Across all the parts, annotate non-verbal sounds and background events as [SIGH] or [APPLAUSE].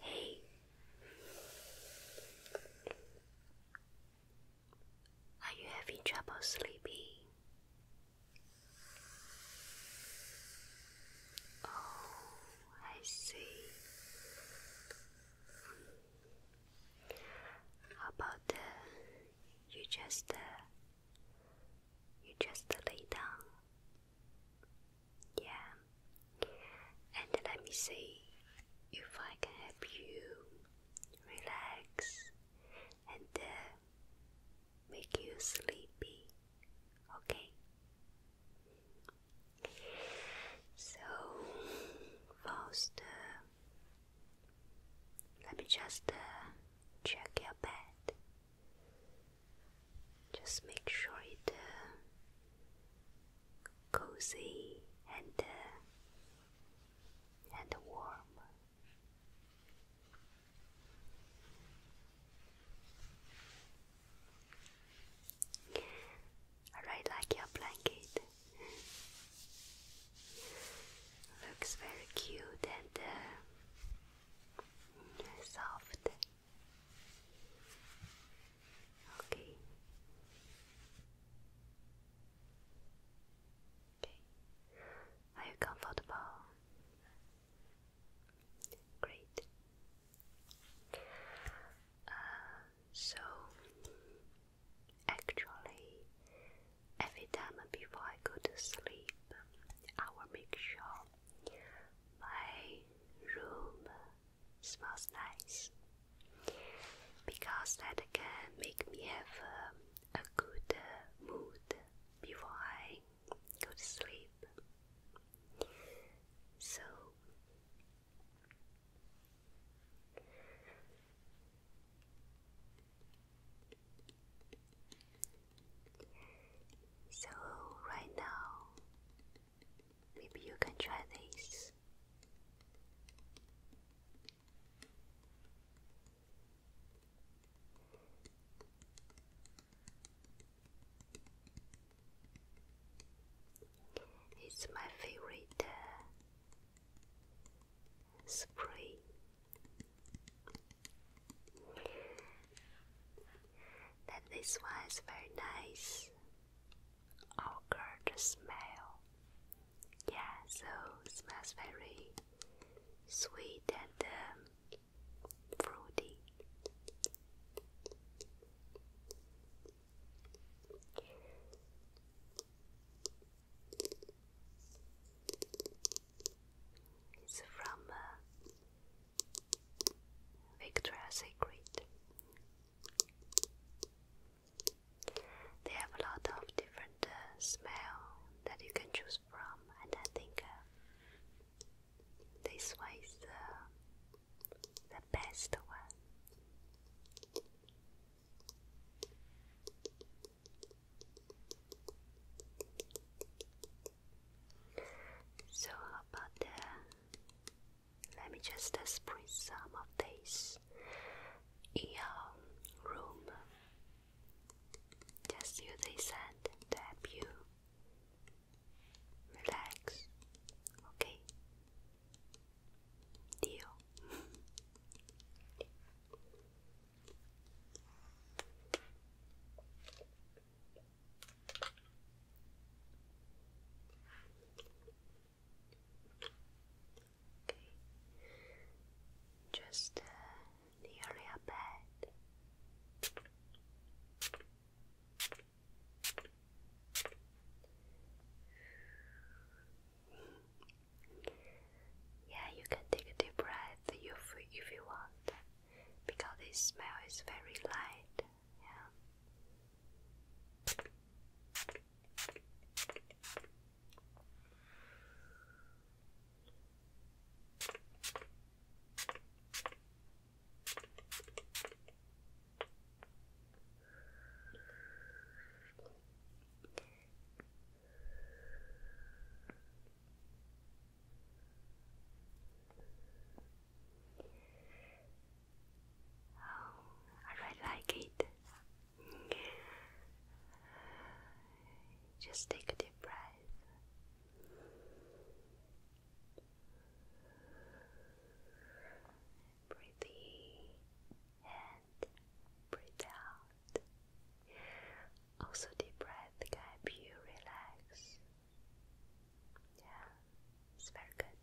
Hey, are you having trouble sleeping? Oh, I see. How about the you just uh, you just lay down. Yeah. And let me see if I can help you relax and uh, make you sleepy. Okay. So first, let me just uh, check your bed. Just make sure it's uh, cozy and uh, and warm. I like your blanket. Looks very cute and uh, soft. Okay. Okay. Are you comfortable? Great. Uh, so, actually, Every time before I go to sleep, I will make sure my room smells nice because that can make me have a good mood before I go to sleep. So so, right now, maybe you can try this. It's my favorite uh, spray that this one is very nice. Ogre smell. Yeah, so smells very sweet and um, fruity. It's from uh, Victoria's Secret. They have a lot of different uh, smell that you can choose from, and I think uh, this one is uh, the best one. So, about the, let me just uh, some of this in your room. Just use this hand to help you relax. Okay? Deal. [LAUGHS] Okay. Just uh, the bed. Yeah, you can take a deep breath if you, if you want, because this smell is very light. Yeah. Oh, I really like it. Just take a deep breath. Breathe in breathe out. Also, deep breath can help you relax. Yeah, it's very good.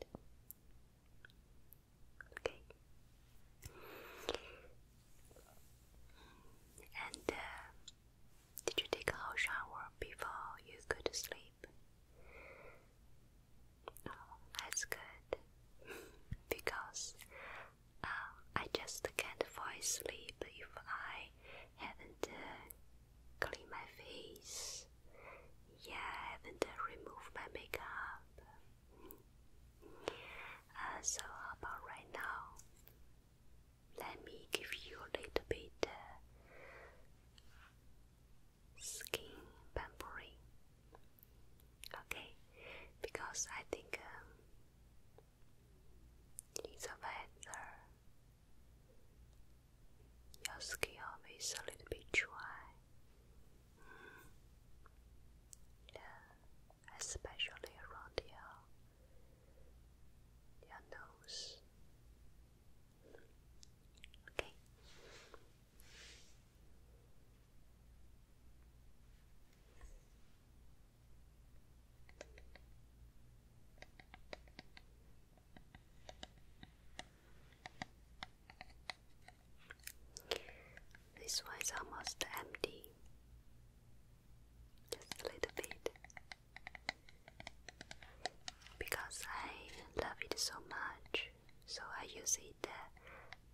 Okay. And uh, did you take a hot shower before you go to sleep? Oh, that's good [LAUGHS] because I just can't fall asleep if I haven't uh, cleaned my face. Yeah, haven't uh, removed my makeup. Uh, so how about right now? Let me give you a little bit uh, skin pampering. Okay, because I think um, it's better. Uh, your skin is a little bit dry, mm-hmm. yeah, especially around your your nose. Okay. This one is almost empty, just a little bit, because I love it so much, so I use it uh,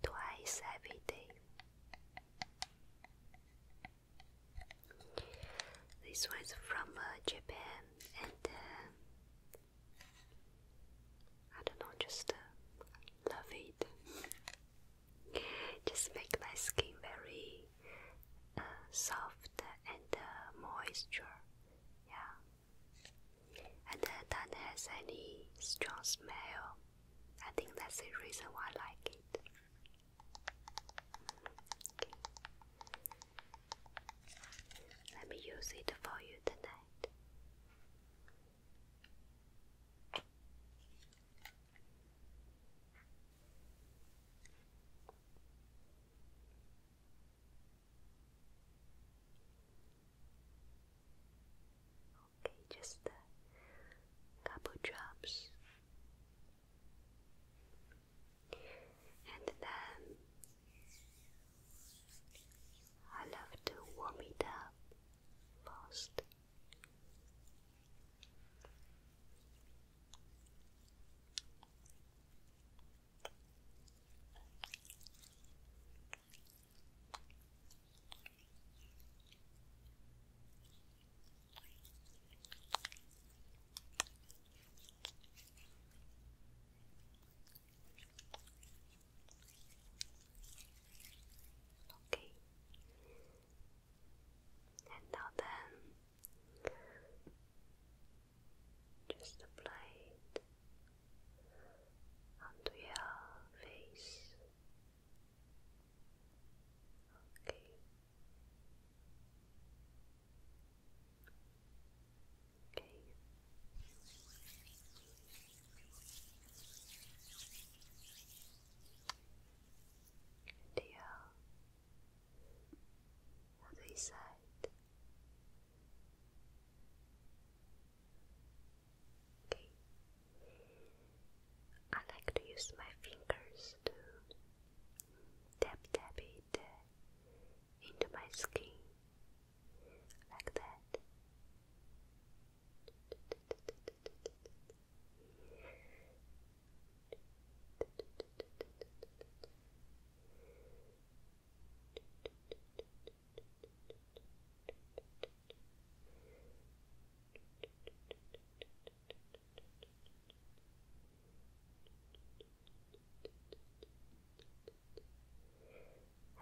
twice every day. This one's from uh, Japan, and uh, I don't know, just uh, love it. just make my skin very uh, soft and uh, moisture. Yeah, and uh, that has any strong smell. I think that's the reason why I like it. Let me use it for you tonight okay, just a couple drops. And then I love to warm it up first. Okay. And now then, just apply it onto your face. Okay. Okay. And here, other side. Okay. I like to use my fingers to tap tap it uh, into my skin like that.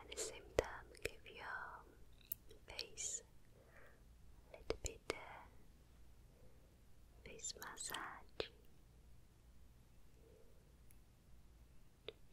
At the same time, give your face a little bit uh, face massage.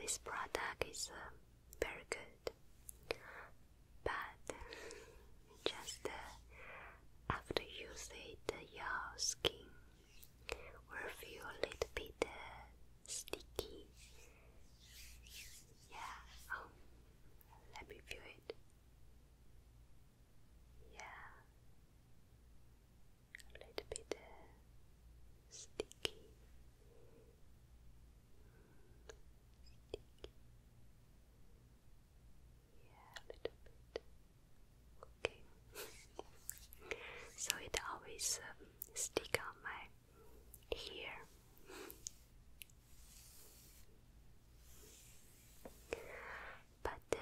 This product is uh, very good, but [LAUGHS] just uh, after you use it, your skin will feel a little bit uh, sticky. Yeah, um, let me feel it. Yeah, a little bit uh, sticky. sticky. Yeah, a little bit. Okay. [LAUGHS] so it always um, stick on my hair. But uh,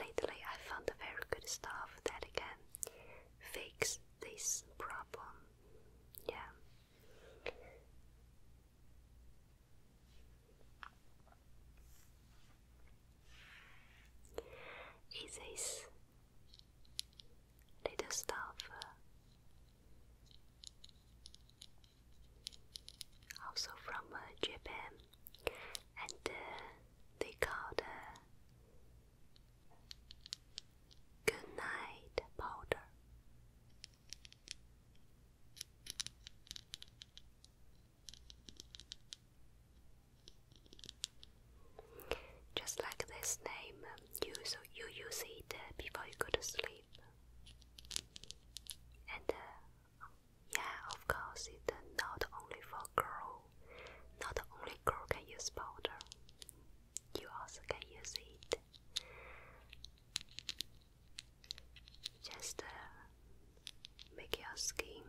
lately I found very good stuff that again fixes this problem. Yeah. Is little stuff? Uh, also from uh, Japan, and uh, they called uh, good powder. Just like this name, um, you you use it uh, before you go to sleep. And uh, yeah, of course, it's uh, not only for girl. Not only girl can use powder. You also can use it. Just uh, make your skin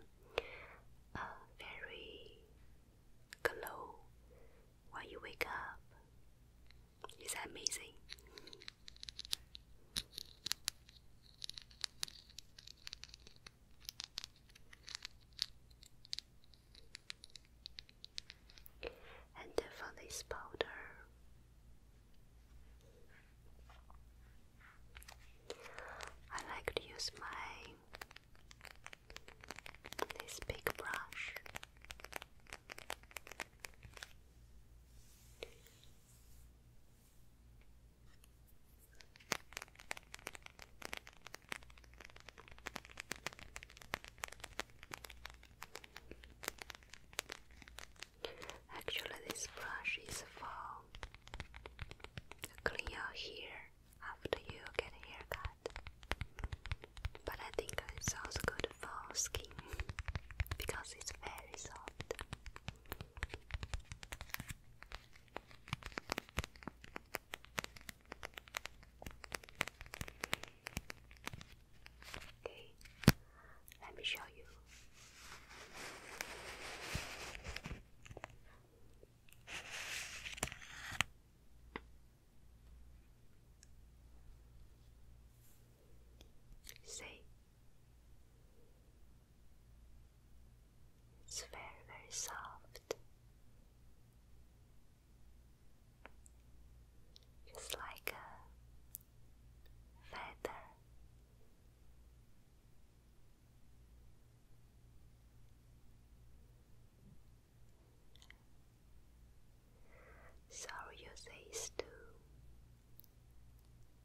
uh, very glow when you wake up. Is that amazing? And for this powder, I like to use my this big brush Actually, this brush is for clean your hair after you get haircut but I think it's also good for skin [LAUGHS] because it's very soft. Okay, let me show you. See? It's very, very soft. Just like a feather. Sorry your face too.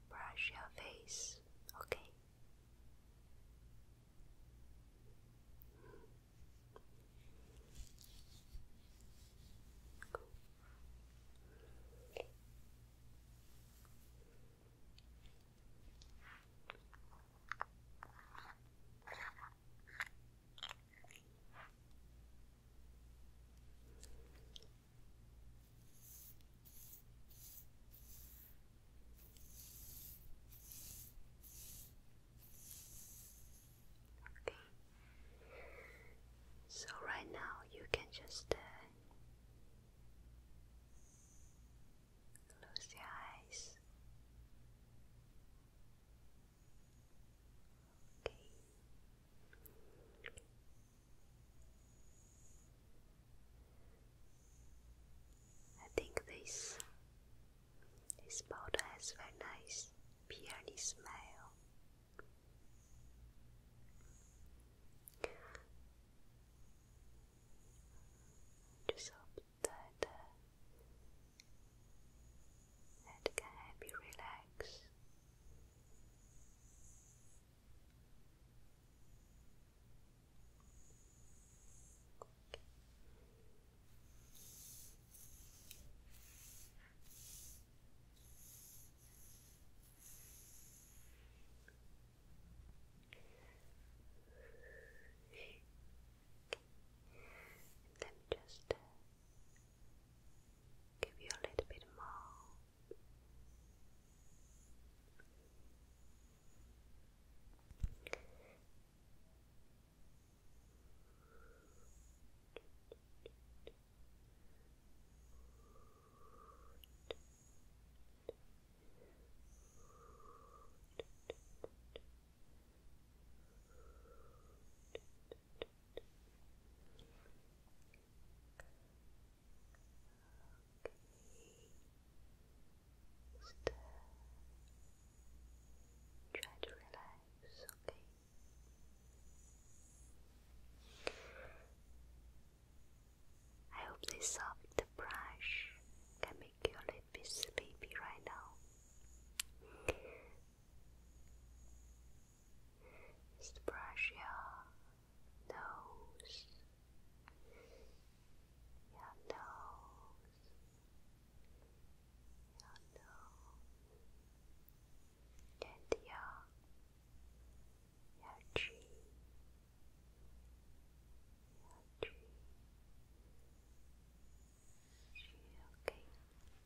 Brush your face, okay? Okay. So right now you can just uh, close your eyes. I think this this powder has very nice peony smell. Just hope that uh, that can help you relax. Let me just uh, give you a little bit more. Just uh, try to relax, okay? I hope this soft brush can make you a sleepy right now. Just brush nose, nose, nose, and your, your cheek, your cheek. Okay.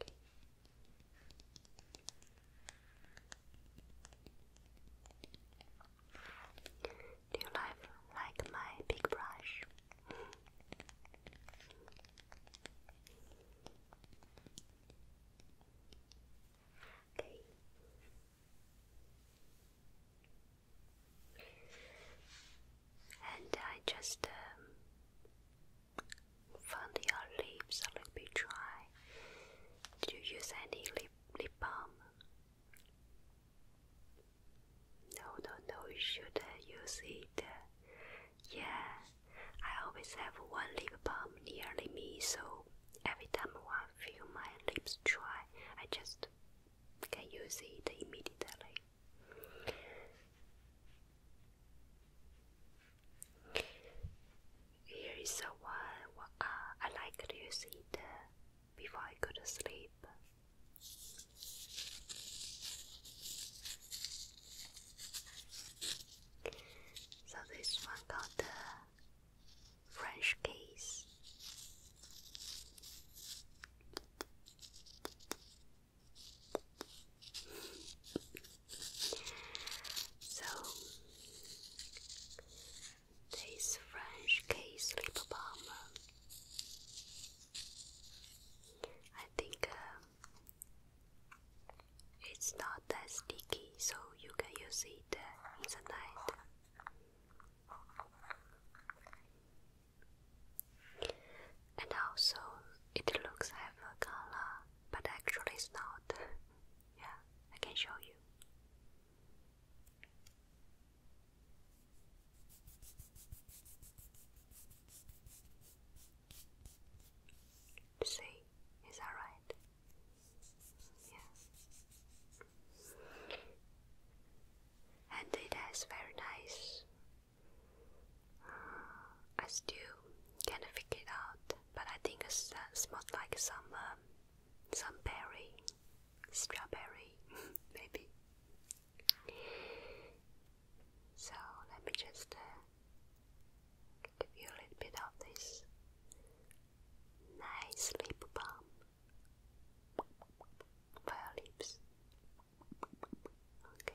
Do you like, like my big brush? okay. And I just um, Find your lips a little bit dry. Did you use any lip, lip balm? No, no, no, you should uh, use it. Yeah, I always have one lip balm nearly me, so every time I feel my lips dry, I just can use it immediately. Here is a one uh, I like to use it uh, before I go to sleep. So this one called the French case. So, this French case lip balm, I think uh, it's not that sticky, so you can use it uh, in the night. And also, it looks have a color, but actually it's not. [LAUGHS] yeah, I can show you. See, is that right? Yeah. And it very nice I still can't figure it out, but I think it smells uh, like some um, some berry, strawberry, [LAUGHS] maybe. So let me just uh, give you a little bit of this nice lip balm for lips. Okay.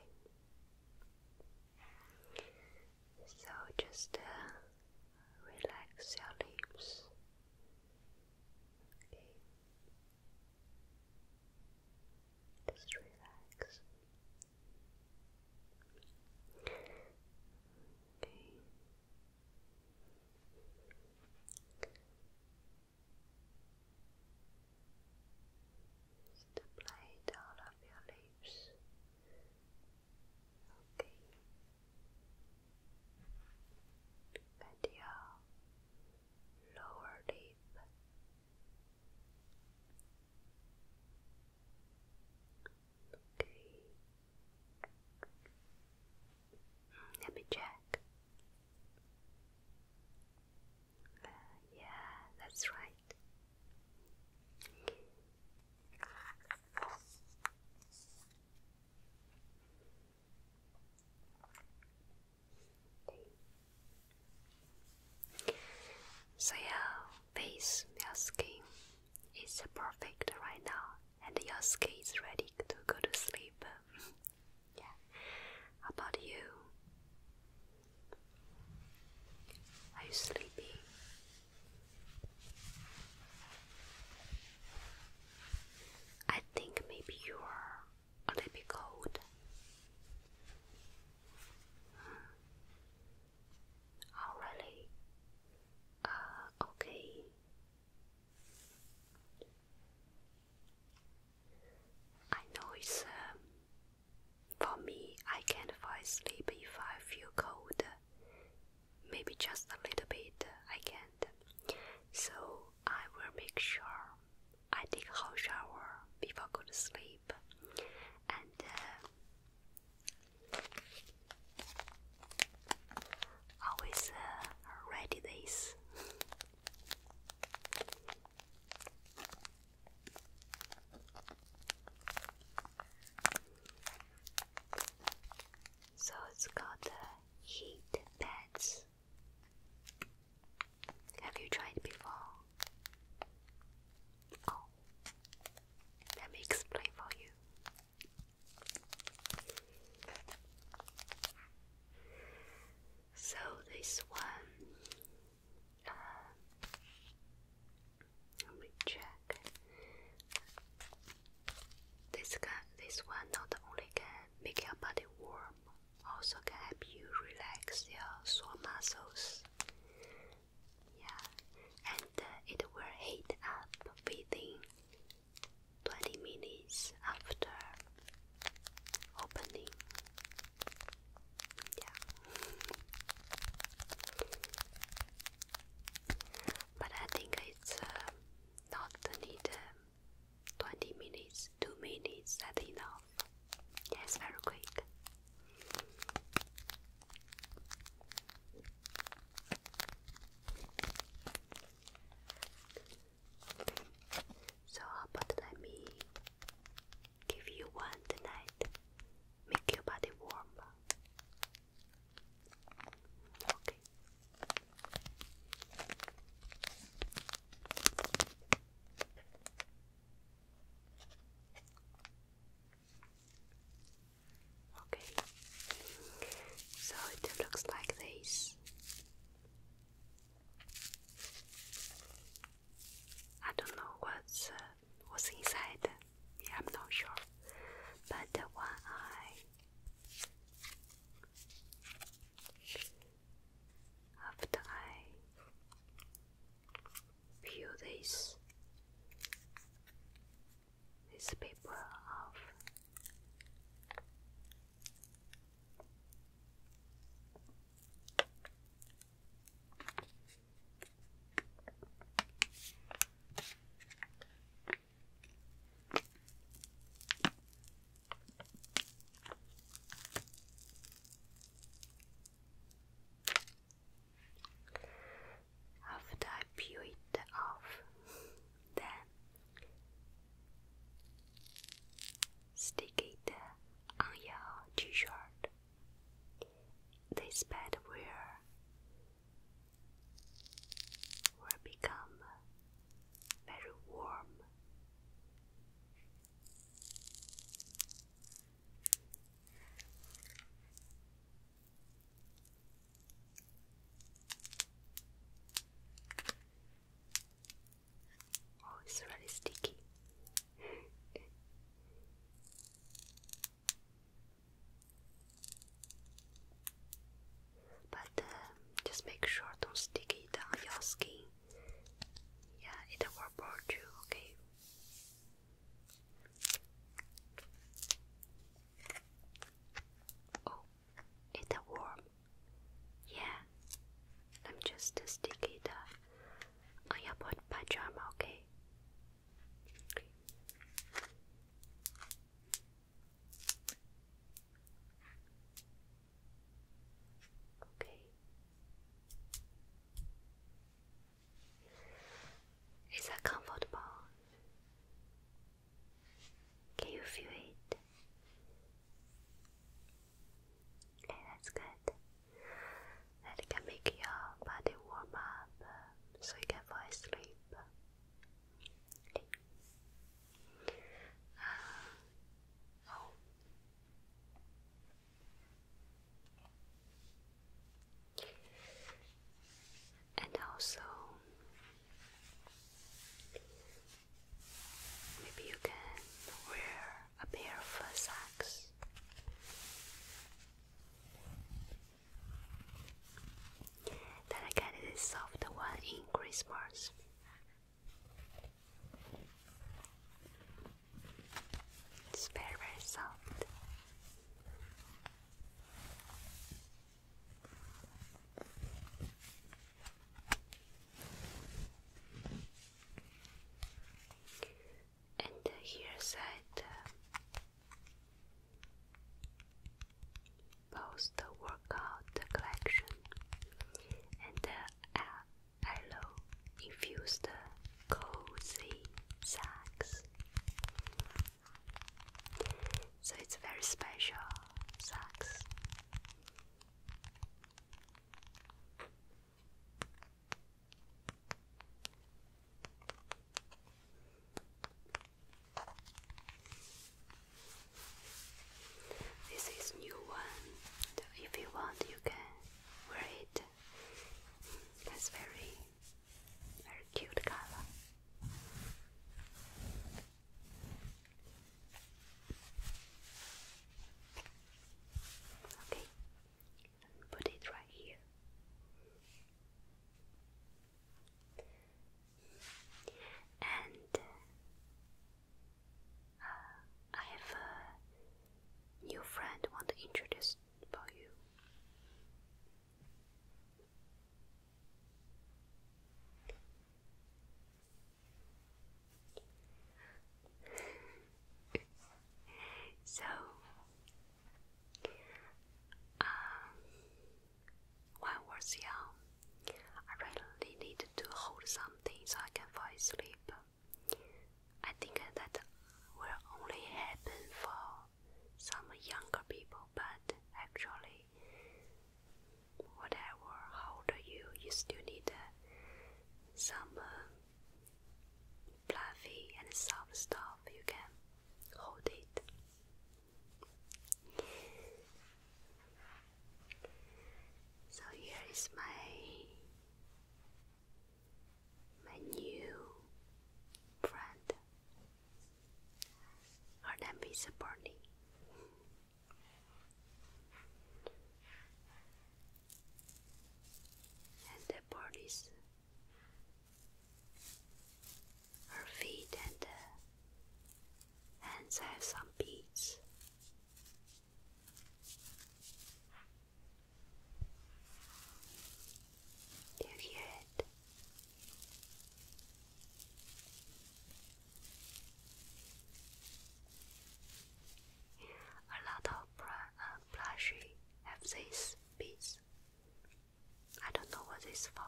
So just uh, relax your lips. Okay. Just relax. Okay. Just apply it all of your lips. Okay. And your lower lip. Okay. Mm, let me check yeah, that's right. So your face, your skin is perfect right now, and your skin is ready to go to sleep. [LAUGHS] Yeah. How about you? Are you sleepy? I think maybe you're a little bit cold. Oh, really? Uh, okay. I know it's um, for me, I can't fall asleep if I feel cold. Maybe just a little bit, I can't. So I will make sure I take a hot shower before I go to sleep. And uh, always uh, ready this. [LAUGHS] So it's called the heat pads. Have you tried before? Oh, let me explain for you. So this one uh, let me check. This can, this one not only can make your body warm, also can help you relax your sore muscles. Yeah, and uh, it will heat up within 20 minutes after opening. Yeah. but I think it's uh, not need uh, 20 minutes, 2 minutes, that's enough. Yes, very quick. So how about let me give you one tonight, make your body warm. Okay. Okay. So it looks like this. I don't know what's uh, what's inside. I'm not sure. But the one I after I peel this this paper off, after I peel it off, then stick it on your t shirt. This pad will, will become very warm. Oh, it's really sticky. but uh, just make sure don't stick it on your skin. Yeah, it will burn you, okay? Oh, it will yeah, I'm just a sticky dove on your board pajama, okay? Okay. Is that comfortable? Can you feel it? Okay, that's good. That can make your body warm up so you can fall asleep. Uh, oh. And also, Maybe you can wear a pair of socks. Then I got this soft one in Christmas. It's very, very soft and uh, here side uh, workout collection and uh, aloe uh, infused cozy sacks. So it's very special sacks. This is new one. if you want, you can wear it. That's very, very cute color. Okay, put it right here. And uh, uh, I have a new friend want to introduce about you. [LAUGHS] so, um, when I was young, I really need to hold something so I can fall asleep. I think that will only happen for some younger people, but actually, whatever, how you, you still need uh, some uh, fluffy and soft stuff. You can hold it. So here is my my new friend. Her name and the bodies, her feet and the uh, hands have some beads. Do you hear it? A lot of plushy uh, have these beads. I don't know what this is for.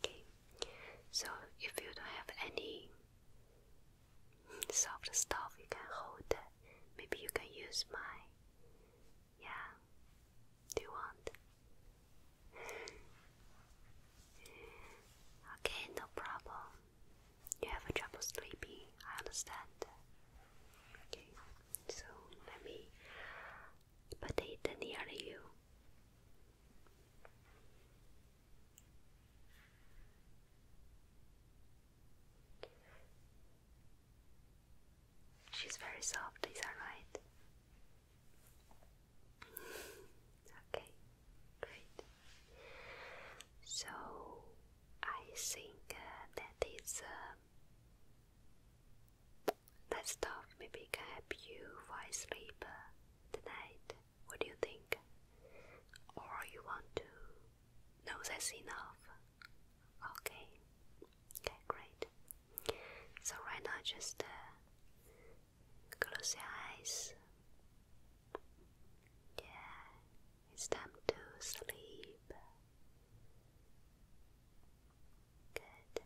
Okay, so if you don't have any soft stuff you can hold, maybe you can use my. Yeah, do you want? okay, no problem. You have trouble sleeping, I understand. Okay, so let me but it near you. She's very soft, is that right? okay, great. So I think uh, that is uh, that stuff maybe can help you fall sleep tonight. What do you think? Or you want to? No, that's enough. Okay. Okay, great. So right now, just uh, close your eyes. Yeah, it's time to sleep. Good.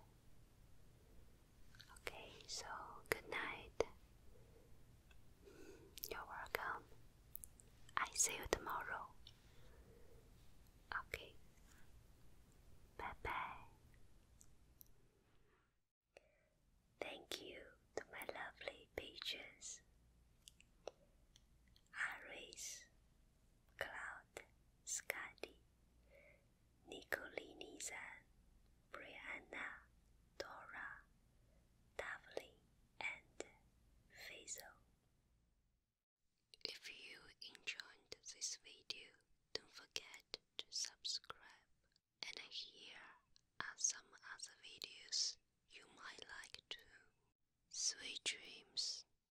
Okay, so good night. Mm, you're welcome. I see you tomorrow. Okay. Bye bye. Thank you to my lovely patrons. Iris, Cloud. Scotty, Nicolini Zan, Brianna, Dora, Davlin, and Faisal. If you enjoyed this video, don't forget to subscribe. And here are some other videos you might like too. Sweet dreams.